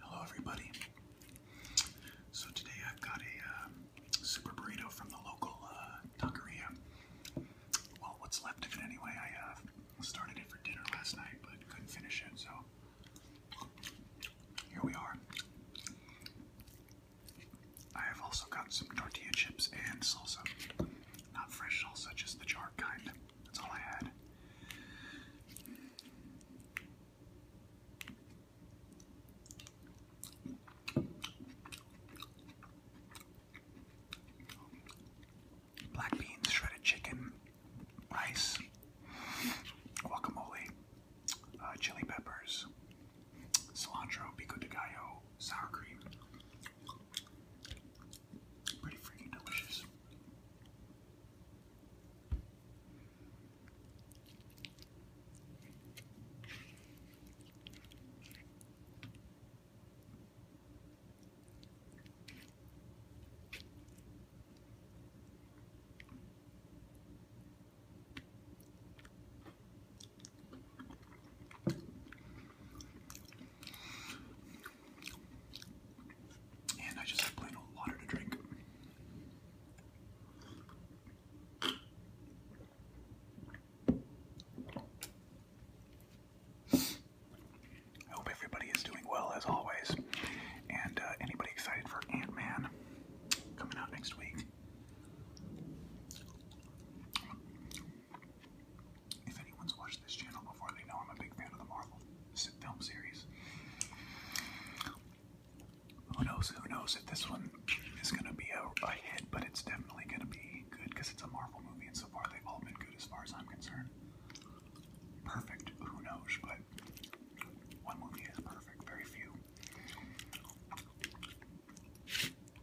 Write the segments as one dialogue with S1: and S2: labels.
S1: Hello, everybody. So today I've got a um, super burrito from the local uh, Well, what's left of it anyway? I uh, started it for dinner last night, but couldn't finish it, so here we are. I have also got some tortilla chips and salsa. Not fresh such as the jar kind. That's all I had. Black beans, shredded chicken, rice, guacamole, uh, chili peppers, cilantro, pico de gallo, sour cream. Pretty freaking delicious. And I just have plain old water to drink. I hope everybody is doing well as always. And uh, anybody excited for Ant Man coming out next week? If anyone's watched this channel before, they know I'm a big fan of the Marvel film series. Who knows? Who knows if this one is going to be a, hit, but it's definitely going to be good because it's a Marvel movie, and so far they've all been good as far as I'm concerned. Perfect, who knows? But one movie is perfect, very few.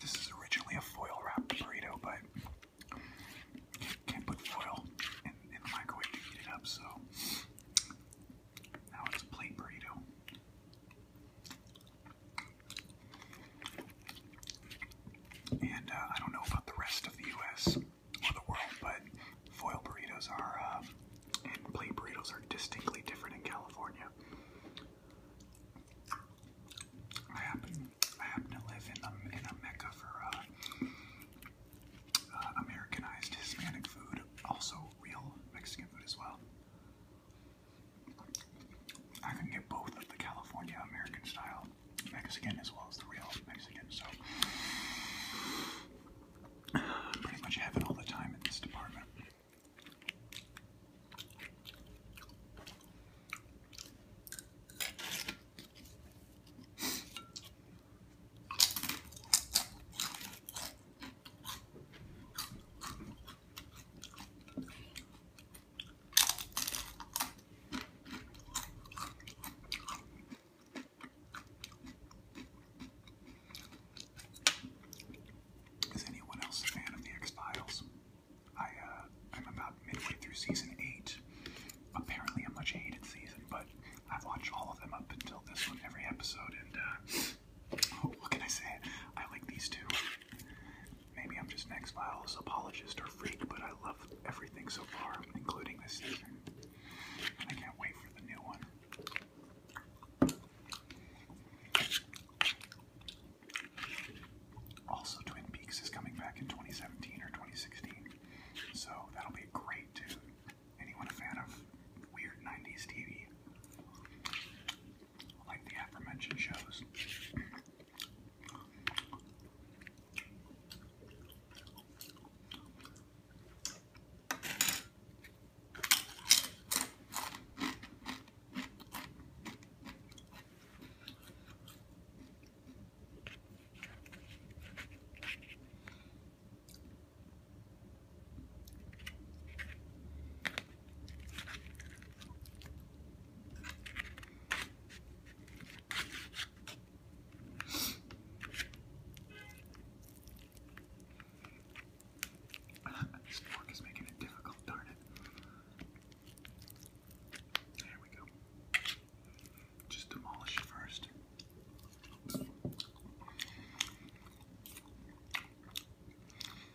S1: This is originally a foil wrap burrito, but can't, put foil in the microwave to heat it up, so now it's a plate burrito. And uh, I don't know about the rest of the U.S. or the world, but foil burritos are um, and plate burritos are distinctly different in California. I happen, I happen to live in a, um, in a mecca for uh, uh, Americanized Hispanic food, also real Mexican food as well. I can get both of the California American style Mexican as well as the real Mexican, so pretty much heaven all the time in this department. Is anyone else a fan of the X Files? I am uh, about midway through season eight. Apparently, a much hated season, but I've watched all of them up until this one, every episode, and uh, what can I say? I like these two. Maybe I'm just an ex files apologist or freak, but I love everything so far, including this season. I can't wait for the new one. Also, Twin Peaks is coming back in 2017 or 2016, so that'll be great to anyone a fan of weird 90s TV like the aforementioned shows. this fork is making it difficult, darn it. There we go. Just demolish it first.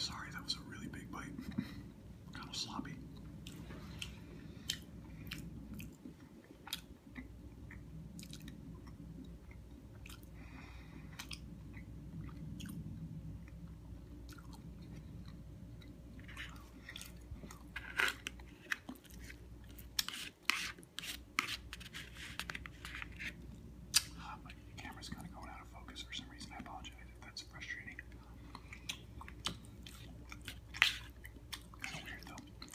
S1: Sorry, that was a really big bite. Kind of sloppy. But the camera's kind of going out of focus for some reason. I apologize if that's frustrating. It's weird though.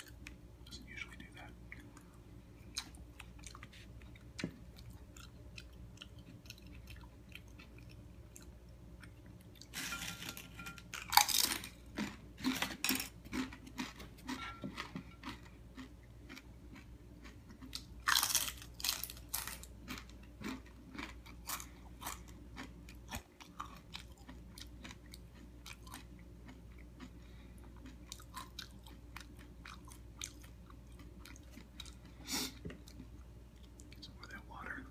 S1: Doesn't usually do that. Some of that water.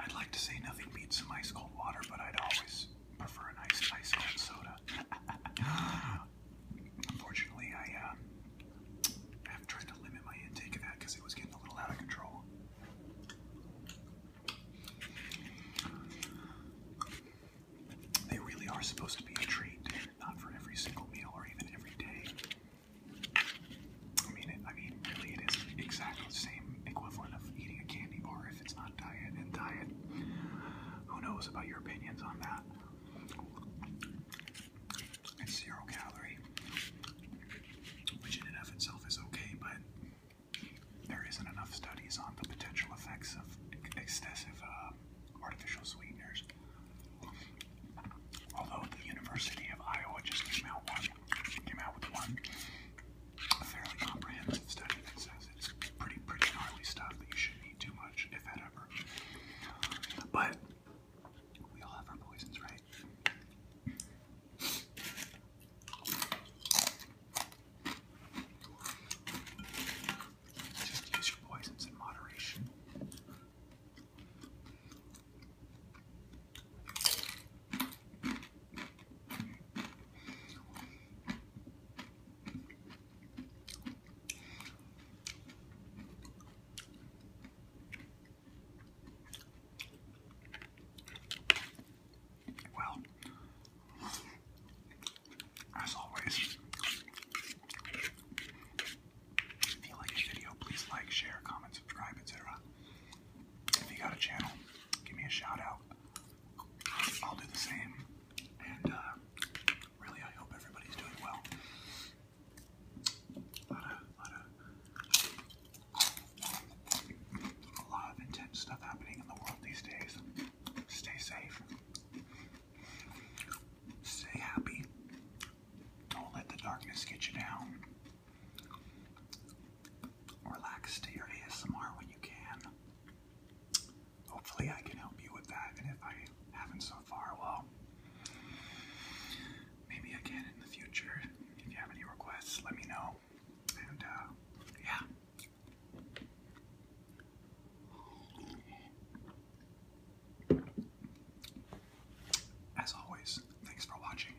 S1: I'd like to say nothing beats some ice cold water, but I'd always prefer a nice ice cold soda. Unfortunately, um, I have tried to limit my intake of that because it was getting a little out of control. They really are supposed to be a treat, not for every single meal or even every day. I mean, I mean, really, it is exactly the same equivalent of eating a candy bar it's not diet and diet. Who knows about your opinions on that? It's zero calorie, which in and of itself is okay, but there isn't enough studies on the potential effects of excessive uh, artificial sweeteners. Although the University of Iowa just came out with one a fairly comprehensive study that says it's pretty, pretty gnarly stuff that you shouldn't eat too much, if that ever. But we all have our poisons, right? Just use your poisons in moderation. Well, as always, if you like this video, please like, share, comment, subscribe, etc. If you got a channel, give me a shout out. I'll do the same. And uh, really, I hope everybody's doing well. a lot of intense stuff happening in the world these days. Stay safe. Stay happy. Don't let the darkness get you down relax to your ASMR when you can. Hopefully, I can help you with that, and if I haven't so far, well, maybe I in the future. If you have any requests, let me know. And, uh, yeah. As always, thanks for watching.